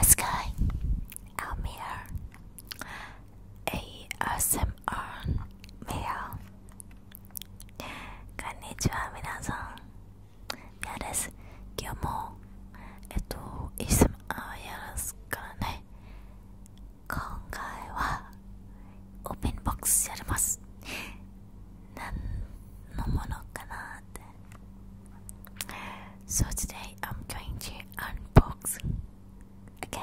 A sky, a mirror, ASMR メアこんにちは皆さんミアです今日もえっと ASMR やらすからね今回はオープンボックスやります何のものかなって today I'm going to unbox again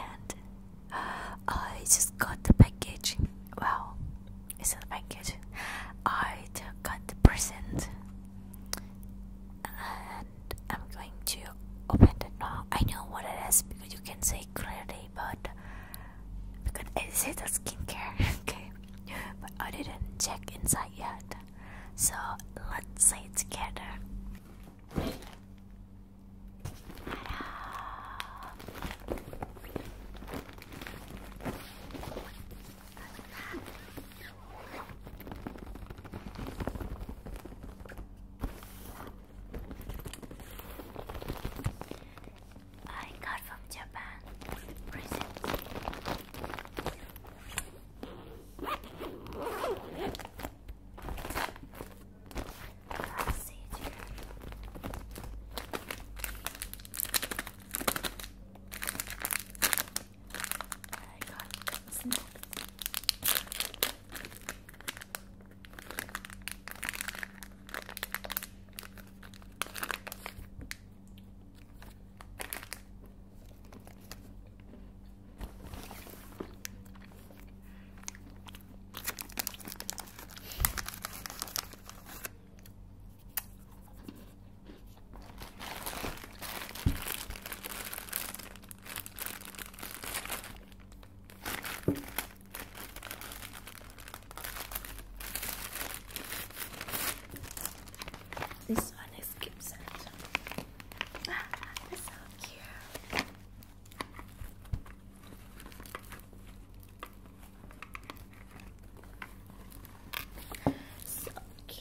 I just got the package Wow, it's a package I got the present I'm going to open it now. I know what it is because you can see clearly, but because it says a skincare, okay? But I didn't check inside yet, so let's say it together. I got from Japan recently. I got some this one is Gibson. Ah, that's so cute. So cute.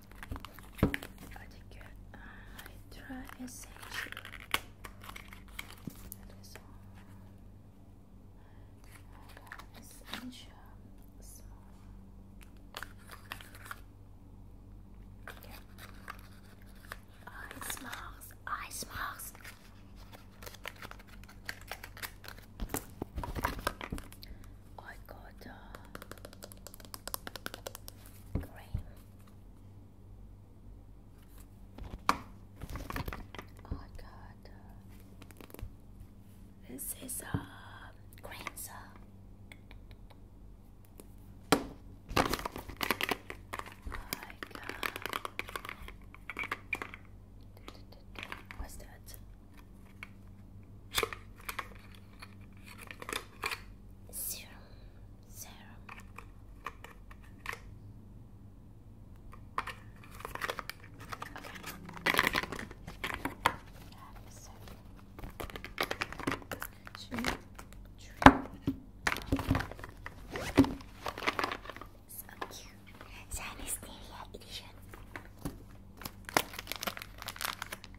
I think uh, I try essential. This one. Essential small. Okay. Ice marks, ice marks. I got uh, I got this is a uh, green I got uh, uh, what's that? Serum, serum. Okay. So cute. Shiny Stevia edition.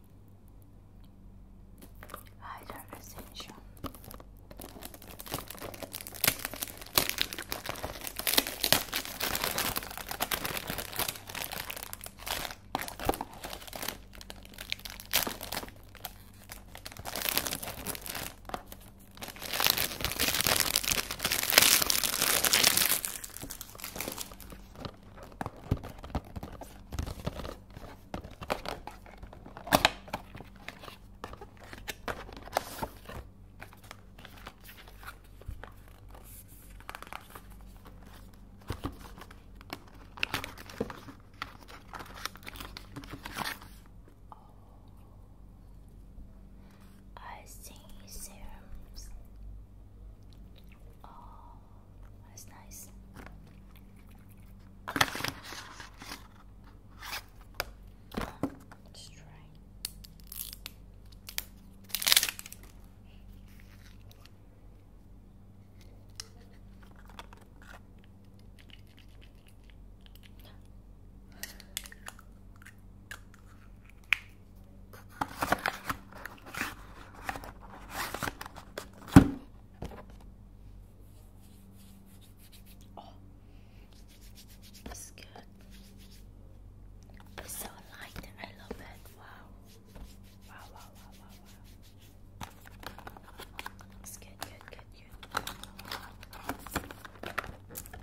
I do Hydra Essential. I see serums. Oh, that's nice. Let's try. Oh, it's good. It's so light. I love it. Wow. Wow, wow, wow, wow, It's good, good, good. Creams. Okay.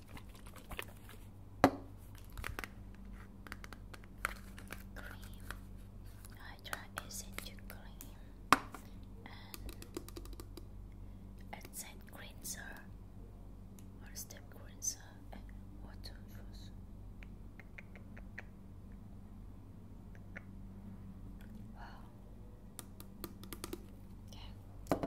cream. Hydra essential cream and accent cleanser or step cleanser and water first. Wow. Yeah.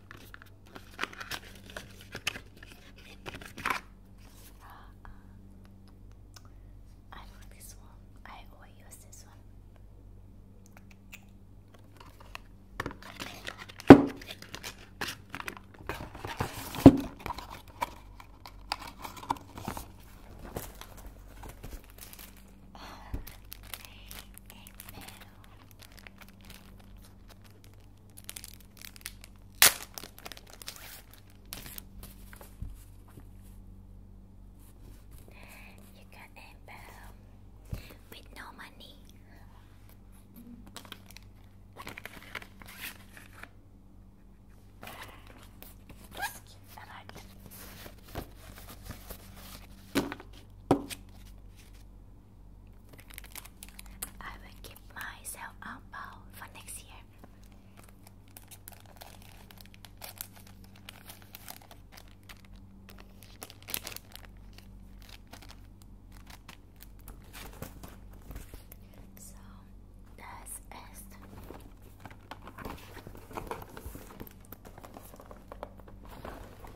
Uh, I like this one. I always use this one. You got a bell with no money. I will keep myself out oh, bow for next year. So that's it.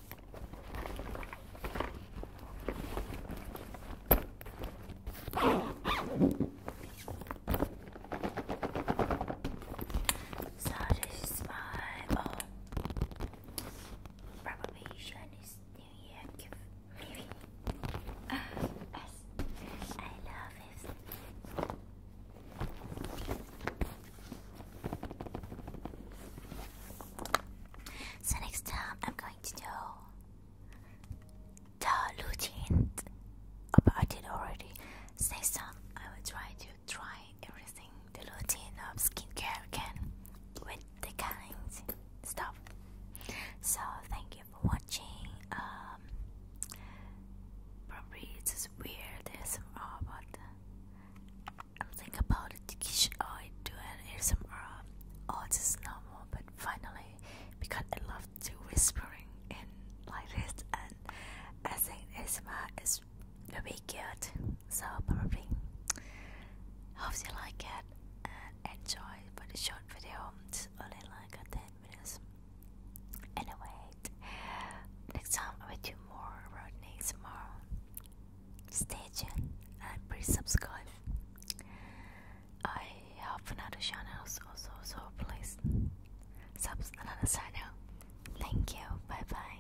So this is probably Chinese um, New Year gift. Maybe. Uh, I love it. So next time I'm going to do the routine. Oh, but I did already. So next time I will try to try everything the routine of skincare again with the kind stuff. So thank you for watching. Um, probably it's just weird as but I'm thinking about the I do an ASMR. Oh, this is normal, but finally, because I love to whispering and like this, and I think ASMR is very good. So probably, hope you like it and enjoy. But a short video, it's only like a 10 minutes. Anyway, next time I do more road about tomorrow. Stay tuned and please subscribe. I have another channels also, so please subscribe another channel. Thank you. Bye bye.